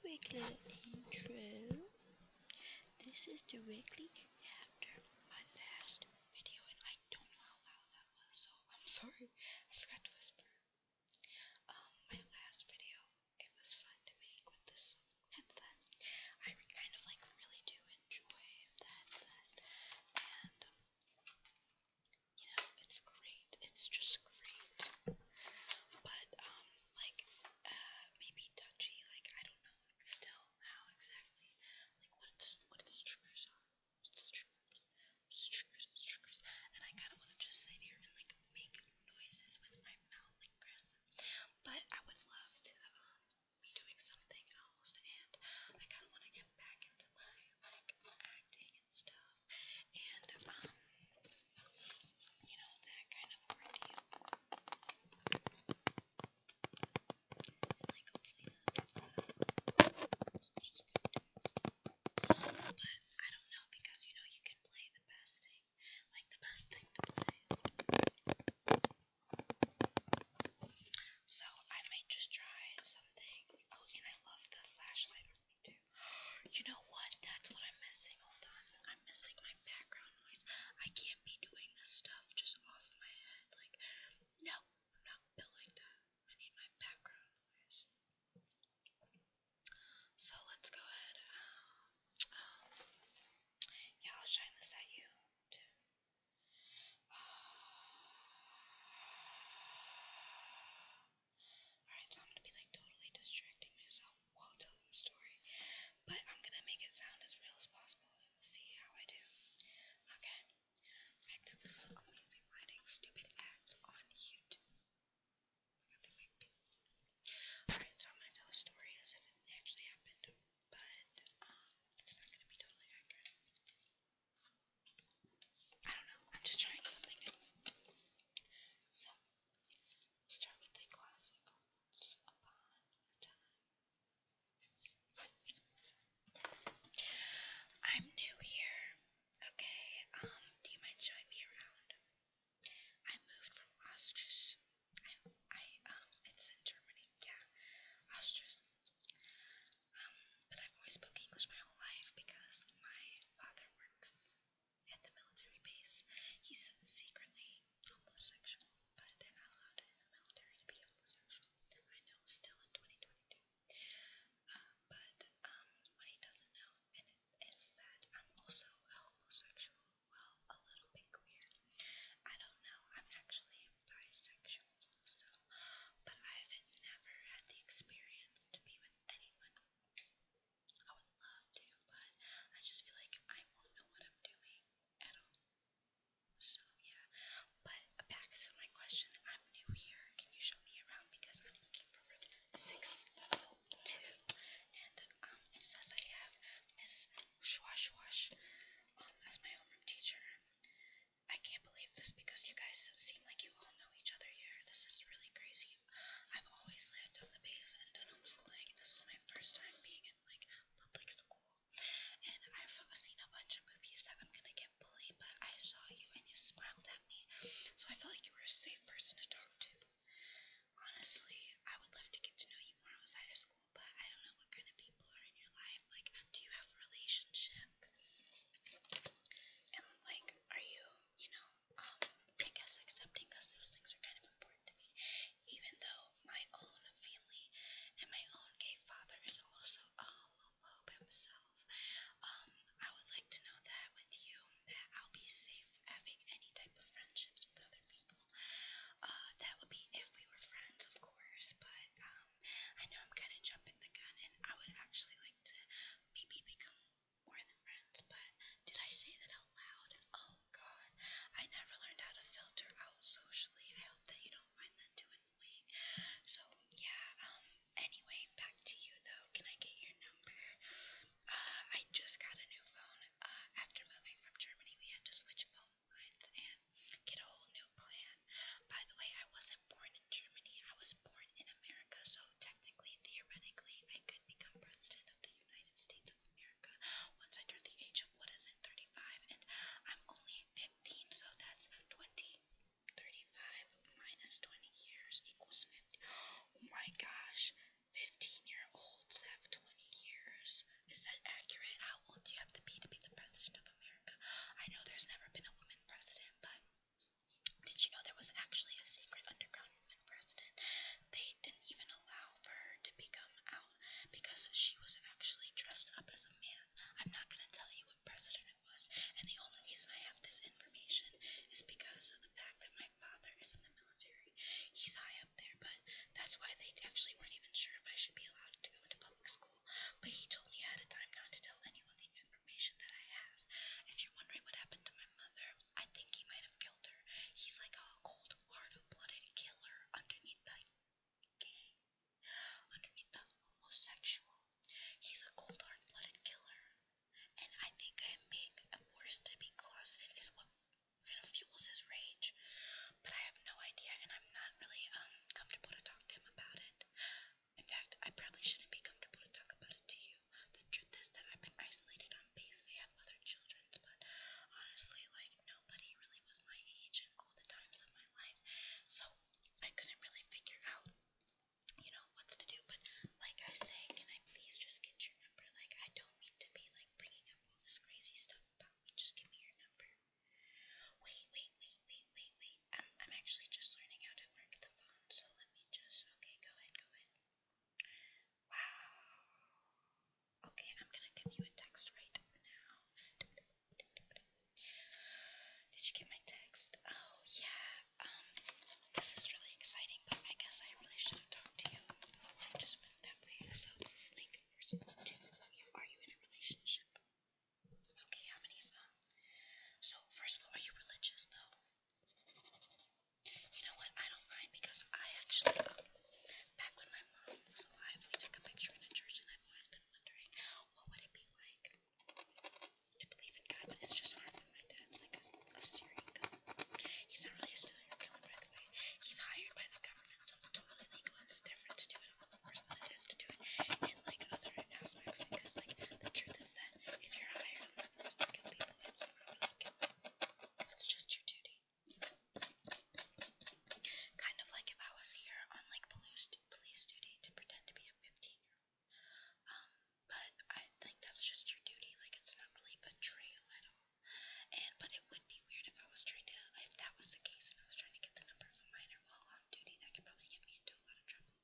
Quick little intro. This is directly after my last video, and I don't know how loud that was, so I'm sorry. I forgot to whisper. Um, my last video, it was fun to make with this headset. I kind of like really do enjoy that set, and you know, it's great. It's just great. But um, like uh, maybe touchy. Like I don't know still how exactly. Like what what its triggers are. triggers, triggers, triggers. And I kind of want to just sit here and like make noises with my mouth, like Chris. But I would love to um, be doing something else, and I kind of want to get back into my like acting and stuff and um, you know, that kind of ordeal. But I don't know because you know you can play the best thing, like the best thing to play. So I might just try something. Oh, and I love the flashlight you know what? That's what I'm missing. Hold on. I'm missing my background noise. I can't be doing this stuff just off my head. Like, no, I'm not built like that. I need my background noise. So let's go ahead. Um, yeah, I'll shine this at you too. Uh, Alright, so I'm gonna be like totally distracting myself while telling the story, but I'm gonna make it sound as real as possible and see how I do. Okay, back to this amazing writing stupid ads on YouTube. Alright, so I'm gonna tell a story as if it actually happened, but um, it's not gonna be totally accurate. I don't know, I'm just trying something So, I'm new here, okay? Um, do you mind showing me around? I moved from Austria. I, I, um, it's in Germany, yeah. Austria. Um, but I've always spoke English my whole life because my father works at the military base, he's secretly homosexual, but they're not allowed in the military to be homosexual. I know, still in 2022. Uh, but um, what he doesn't know and it is that I'm also a homosexual. Well, a little bit queer. I don't know. I'm actually bisexual, so but I've never had the experience to be with anyone I would love to, but I just feel like I won't know what I'm doing at all. So, yeah. But back to my question I'm new here. Can you show me around? Because I'm looking for room 602. And um, it says I have Miss Shwashwash um, as my homeroom teacher. I can't believe this because you guys seem like you all know each other here. This is really crazy. I've always lived on the base and done homeschooling. This is my first time being in like public school. And I've seen a bunch of movies that I'm gonna get bullied, but I saw you and you smiled at me. So I felt like you were a safe person to talk to. Honestly, I would love to get to know you more outside of school, but I don't know what kind of people are in your life. Like, do you have a relationship? And like, are you you know, um, I guess accepting those things are kind of important to me, even though my own family and my own gay father is also a homophobe himself. Um, I would like to know that with you, that I'll be safe having any type of friendships with other people. Uh, that would be if we were friends, of course, but um, I know I'm kind of jumping the gun, and I would actually like to maybe become more than friends, but did I say that out loud? Oh god, I never learned how to filter out socially. I hope that you don't find that too annoying. So, yeah, um, anyway, back to you though. Can I get your number? Uh, I just got a new phone. Uh, after moving from Germany, we had to switch phone lines and get a whole new plan. By the way, I wasn't born in Germany, I was born in America, so technically, theoretically, I become president of the United States of America once I turned the age of what is it, 35, and I'm only 15, so that's 20. 20 years equals 50. Oh my gosh, 15 year olds have 20 years. Is that accurate? How old do you have to be to be the president of America? I know there's never been a woman president, but. Did you know there was actually a secret underground for president, they didn't even allow for her to become out because she was actually dressed up as a man. I'm not going to tell you what president it was, and the only reason I have this information is because of the fact that my father is in the military. He's high up there, but that's why they actually weren't even sure if I should be allowed to go into public school. But he told me ahead of time not to tell anyone the information that I have. If you're wondering what happened to my mother, I think he might have killed her. He's like a cold, hard-blooded killer underneath the gay, underneath the homosexual. He's a cold, hard-blooded killer. And I think I'm being forced to be closeted is what kind of fuels his rage. But I have no idea, and I'm not really um comfortable to talk to him about it. In fact, I probably shouldn't be comfortable to talk about it to you. The truth is that I've been isolated they have other children, but honestly, like, nobody really was my age in all the times of my life, so I couldn't really figure out, you know, what's to do. But, like I say, can I please just get your number? Like, I don't mean to be, like, bringing up all this crazy stuff about Just give me your number. Wait, wait, wait, wait, wait, wait. I'm, I'm actually just learning how to work the phone, so let me just. Okay, go ahead, go ahead. Wow. Okay, I'm gonna give you a text right now. Did you get my text? Oh, yeah. Um, this is really exciting, but I guess I really should have talked to you before I just went that way. So, like, first of all, you, are you in a relationship? Okay, how many of them? Um, so, first of all, are you religious, though? You know what? I don't mind because I actually, um, back when my mom was alive, we took a picture in a church, and I've always been wondering what would it be like to believe in God, but it's just hard my dad's like a, serial killer. He's not really a serial killer, by the way. He's hired by the government, so it's totally legal. It's different to do it on the force than it is to do it in like other aspects because like the truth is that if you're hired the force to people, it's not it's just your duty. Kind of like if I was here on like police police duty to pretend to be a 15-year-old. Um, but I think that's just your duty. Like it's not really betrayal at all. And but it would be weird if I was trying to if that was the case and I was trying to get the number of a minor while on duty. That could probably get me into a lot of trouble.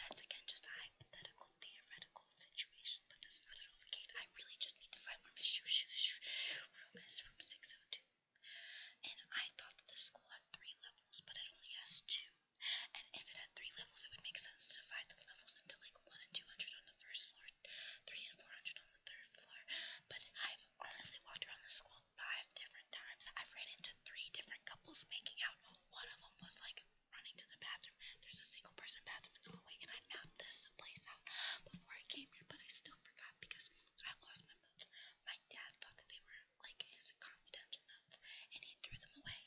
That's again just a hypothetical theoretical situation, but that's not at all the case. I really just need to find where Miss Shoo room is from 602. And I thought that the school had three levels, but it only has two. And if it had three levels, it would make sense to divide the levels into like 1 and 200 on the first floor, 3 and 400 on the third floor. But I've honestly walked around the school five different times. I've ran into three different couples making out. One of them was like running to the bathroom. There's a single person bathroom in the hallway, and I mapped this place out before I came here, but I still forgot because I lost my boots. My dad thought that they were like his confidential notes, and he threw them away.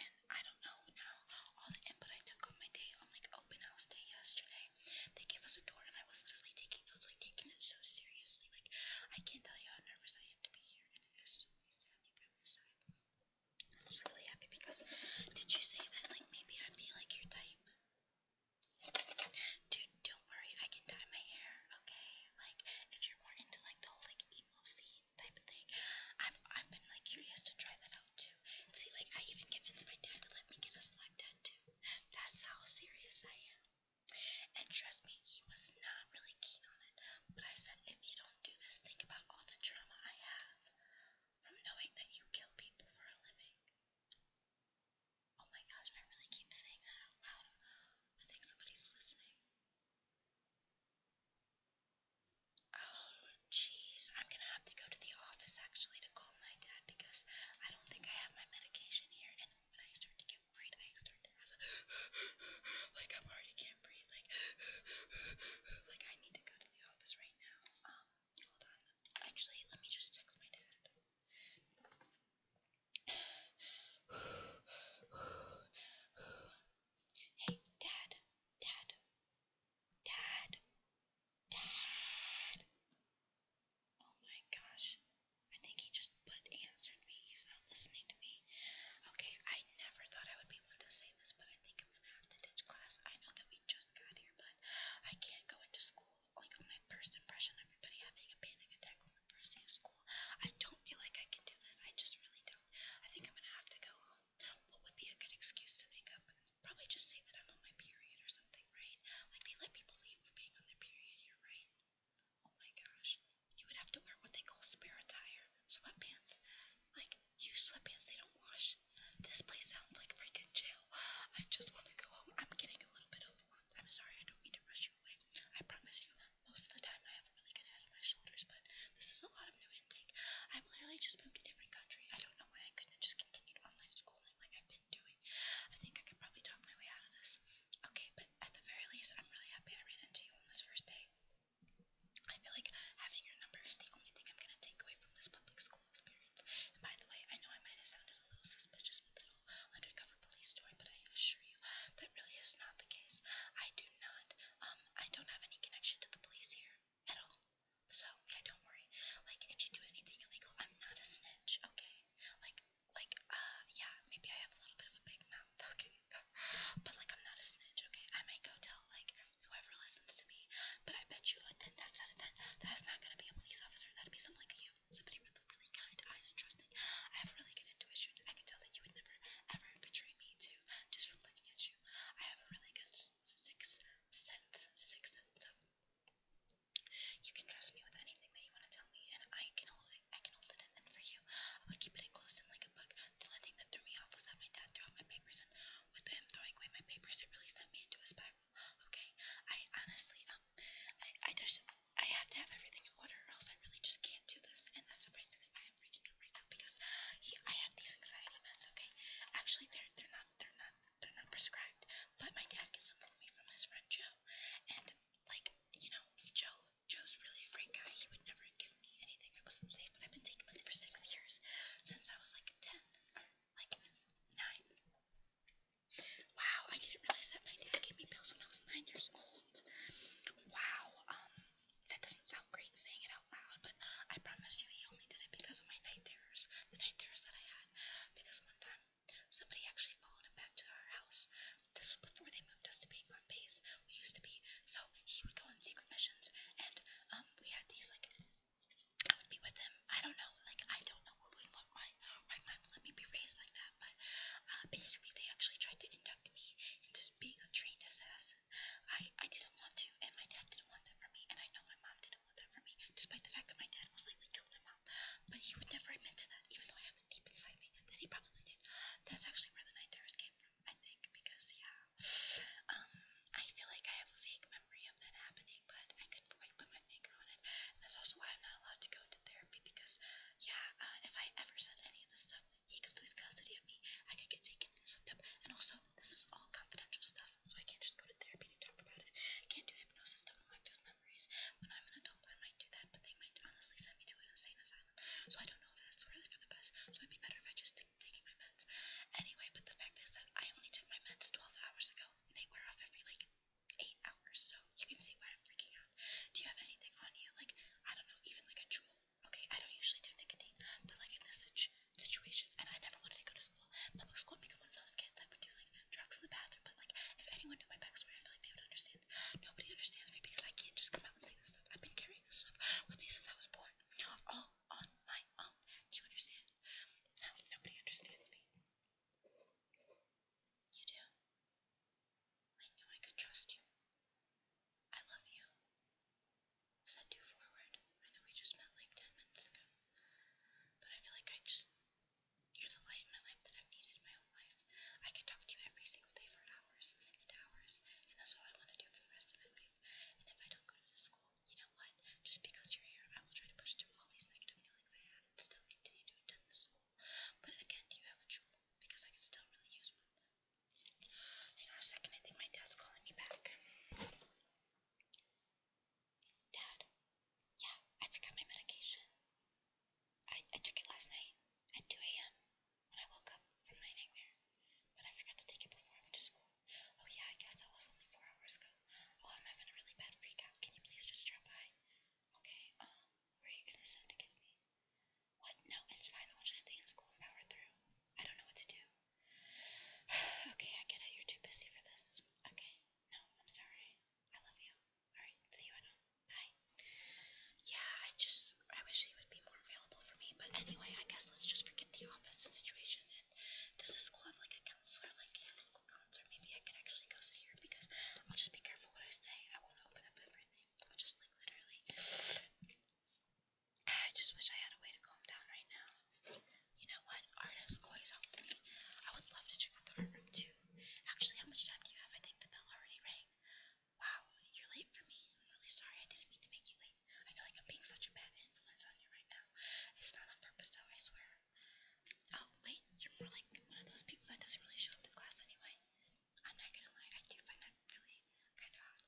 And I don't know now. All the input I took on my day on like open house day yesterday, they gave us a door, and I was literally taking notes, like taking it so seriously. Like I can't tell you how nervous I am to be here, and it is so nice to have you by my side. I'm just really happy because did you say that like maybe I'd be like your type? Dude, don't worry, I can dye my hair, okay? Like if you're more into like the whole like emo scene type of thing, I've I've been like curious to try that out too. see like I even convinced my dad to let me get a slime tattoo. That's how serious I am. And trust me, he was not really keen on it. But I said if you don't do this, think about all the trauma I have from knowing that you kill people for a living. Oh my gosh, I really keep saying that out loud. I think somebody's listening. Oh, jeez. I'm gonna have to go to the office actually to call my dad because I don't think I have my medication here. And when I start to get worried, I start to have like, i already can't breathe. Like, like I need to go to the office right now. Um, Hold on. Actually, let me just text my dad. Hey, dad, dad, dad, dad. Oh my gosh. I think he just but answered me. He's not listening to me. Okay, I never thought I would be able to say this, but I think I'm ditch class. I know that just got here, but I can't go into school. Like my first impression, everybody having a panic attack on the first day of school. I don't feel like I can do this. I just really don't. I think I'm gonna have to go home. What would be a good excuse to make up? Probably just say that I'm on my period or something, right? Like they let people leave for being on their period here, right? Oh my gosh. You would have to wear what they call spare attire, sweatpants. Like you sweatpants, they don't wash. This place sounds like freaking jail. I just want to go home. I'm getting a little bit overwhelmed. I'm sorry, I don't mean to rush you away. I promise you, most of the time I have a really good head on my shoulders, but this is a lot of new intake. i am literally just moved to a different country. I don't know why I couldn't just continue online schooling like I've been doing. I think I could probably talk my way out of this. Okay, but at the very least, I'm really happy I ran into you on this first day. I feel like having your number is the only thing I'm going to take away from this public school whole experience. And by the way, I know I might have sounded a little suspicious with the whole undercover police story, but I assure you that really is not the case. I do not, um, I don't have any connection to the police here at all. So yeah, don't worry. Like, if you do anything illegal, I'm not a snitch, okay? Like, like, uh, yeah, maybe I have a little bit of a big mouth, okay? but like, I'm not a snitch, okay? I might go tell like whoever listens to me, but I bet you uh, 10 times out of 10, that's not going to be a police officer. That'd be someone like you, somebody with really kind eyes and trusting. I have really good intuition. I can tell that you would never, ever betray me, too, just from looking at you. I have a really good sixth sense, sixth sense of. You can trust me with anything that you want to tell me, and I can hold it. I can hold it in. And for you, I would keep it enclosed in like a book. The only thing that threw me off was that my dad threw out my papers and um, with him throwing away my papers, it really sent me into a spiral. Okay, I honestly, um, I, I just, I have to have everything in order, or else I really just can't do this. And that's surprisingly why I'm freaking out right now because he, I have these anxiety meds. Okay, actually, they're they're not they're not they're not prescribed, but my dad gets them for me from his friend Joe, and like you know, Joe Joe's really a great guy. He would never give me anything that wasn't safe. But I've been taking them for six years since I was like ten like nine. Wow, I didn't realize that my dad gave me pills when I was nine years old. Wow, um, that doesn't sound great saying it out loud, but I promise you he only did it because of my night terrors, the night terrors that I had. Because one time, somebody actually followed him back to our house. This was before they moved us to being on base. We used to be, so he would go on secret missions, and um, we had these like be with him. I don't know. Like I don't know what my my mom let me be raised like that. But uh, basically, they actually tried to induct me into being a trained assassin. I I didn't want to, and my dad didn't want that for me, and I know my mom didn't want that for me, despite the fact that my dad most likely killed my mom. But he would never admit to that, even though I have it deep inside me that he probably did. That's actually where the night terrors came from, I think, because yeah, um, I feel like I have a vague memory of that happening, but I couldn't quite put my finger on it. And that's also why I'm not allowed to go into therapy because, yeah, uh, if I ever said any of this stuff, he could lose custody of me. I could get taken and swept up. And also, this is all confidential stuff, so I can't just go to therapy to talk about it. I can't do hypnosis to unlock those memories. When I'm an adult, I might do that, but they might honestly send me to an insane asylum. So I don't know if that's really for the best. So it'd be better if I just taking my meds anyway, but the fact is that I only took my meds 12 hours ago. And they wear off every like 8 hours, so you can see why I'm freaking out. Do you have anything on you? Like, I don't know, even like a jewel. Okay, I don't usually do nicotine, but like in this situation, and I never wanted to go to school, public school, become one of those kids that would do like drugs in the bathroom. But like, if anyone knew my backstory, I feel like they would understand. Nobody understands me because I can't just come out and say this stuff. I've been carrying this stuff with me since I was born. All on my own. Do you understand? nobody understands me. You do? I knew I could trust you. I love you. Was that too forward? I know we just met like 10 minutes ago. But I feel like I just. You're the light in my life that I've needed my whole life. I could talk to you every single day for hours and hours, and that's all I want to do for the rest of my life. And if I don't go to school, you know what? Just because you're here, I will try to push through all these negative feelings I have and still continue to attend the school. But again, do you have a jewel? Because I could still really use one. Hang a second, I think my dad's calling me back. Dad? Yeah, I forgot my medication. I, I took it last night at 2 a.m. when I woke up from my nightmare, but I forgot to take it before I went to school. Oh yeah, I guess that was only four hours ago. Oh, I'm having a really bad freak Can you please just drop by? Okay, um, are you gonna send to get What? No, it's fine. I'll just stay in school and power through. I don't know what to do. okay, I get it. You're too busy for this. Okay, no, I'm sorry. I love you. Alright, see you Bye. Yeah, I just, I wish he would be more available for me. But anyway, I guess let's just forget the office situation. does the school have like a like Campbell School counts, maybe I can actually go see her because I'll just be careful what I say. I won't open up everything. I'll just like literally. I just wish I had a way to calm down right now. You know what? Art has always helped me. I would love to check out art too. Actually, how much time do you have? I think the bell already rang. Wow, you're late for me. I'm really sorry. I didn't mean to make you late. I feel like I'm being such a bad influence on you right now. It's not on purpose though, I swear. Oh, wait, you're more like one of those people that doesn't really show up to class anyway. I'm not gonna lie, I do find that really kind of odd.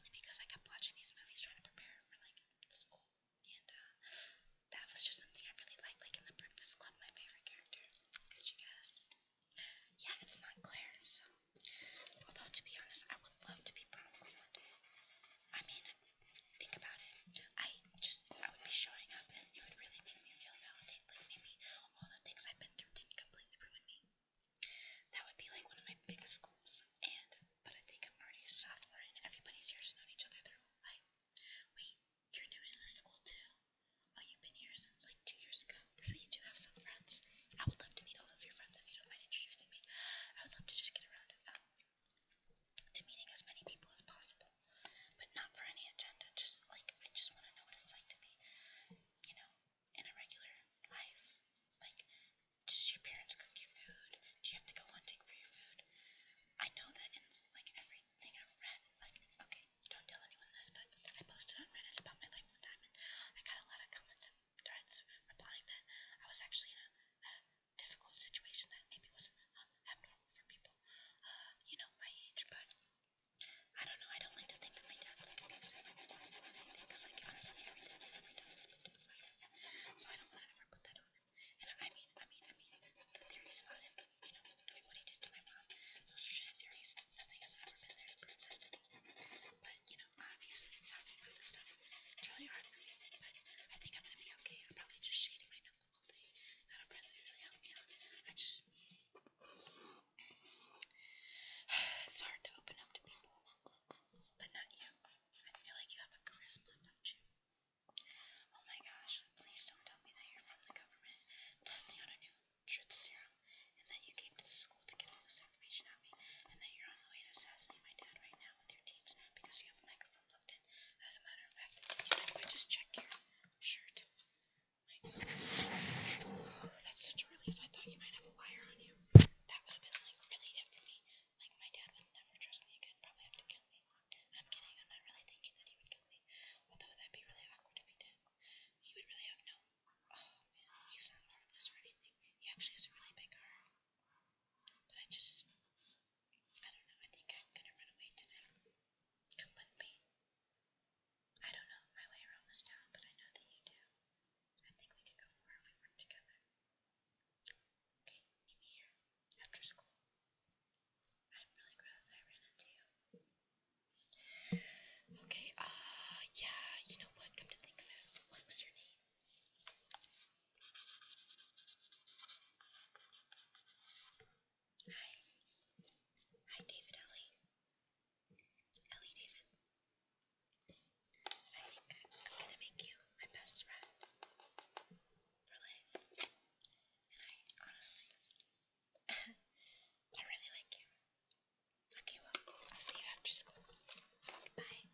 Only because I kept watching these movies trying to prepare for like school. And uh, that was just something I really liked, like in The Breakfast Club, my favorite character. Could you guess? Yeah, it's not Claire, so. Although, to be honest, I would love to be prom I mean, think about it, I just, I would be showing up and it would really make me feel validated. Like maybe all the things I've been through didn't completely ruin me. That would be like one of my biggest goals. And, but I think I'm already a sophomore and everybody's here known each other their whole life. Wait, you're new to this school too? Oh, you've been here since like two years ago. So you do have some friends. I would love to meet all of your friends if you don't mind introducing me. I would love to just get around. Um, to meeting as many people as possible, but not for any agenda. Just like I just want to know what it's like to be, you know, in a regular life. Like, does your parents cook you food? Do you have to go hunting for your food? I know that in like everything i read, like okay, don't tell anyone this, but I posted on Reddit about my life one time, and I got a lot of comments and threads replying that I was actually in a difficult situation that maybe wasn't um, for people, um, you know, my age, but I don't know, I don't like to think that my dad's like abuse everyone or anything, because like honestly everything I do, my dad has been to my family, so I don't want to ever put that on him, and I mean, I mean, I mean, the theories about him, you know, doing what he did to my mom, those are just theories, nothing has ever been there to prove that but you know, obviously talking about this stuff it's really hard for me, but I think I'm gonna be okay. I'm probably just shading my notebook all day. That'll probably really help me out. I just it's hard to open up to people, but not you. I feel like you have a charisma, don't you? Oh my gosh, please don't tell me that you're from the government testing out a new truth serum and that you came to the school to get all this information out of me and that you're on the way to assassinate my dad right now with your teams because you have a microphone plugged as a matter of fact, you might just check your shirt. that's such a relief. I thought you might have a wire on you. That would have been like really it Like my dad would never trust me again. Probably have to me. I'm kidding. I'm not really thinking that he would kill me. Although that'd be really awkward if he did. He would really have no. Oh, he's not harmless or anything. He actually has a really big heart. But I just, I don't know, I think I'm gonna run away tonight. Come with me. I don't know my way around this town, but I know that you do. I think we could go far if we work together. Okay, meet me here, after school. I'm really glad I ran into you. Okay, uh, yeah, you know what? Come to think of it, what was your name? Hi. Hi, David Ellie. Ellie David. I am gonna make you my best friend for life. And I honestly, I really like you. Okay, well, I'll see you after school. Bye.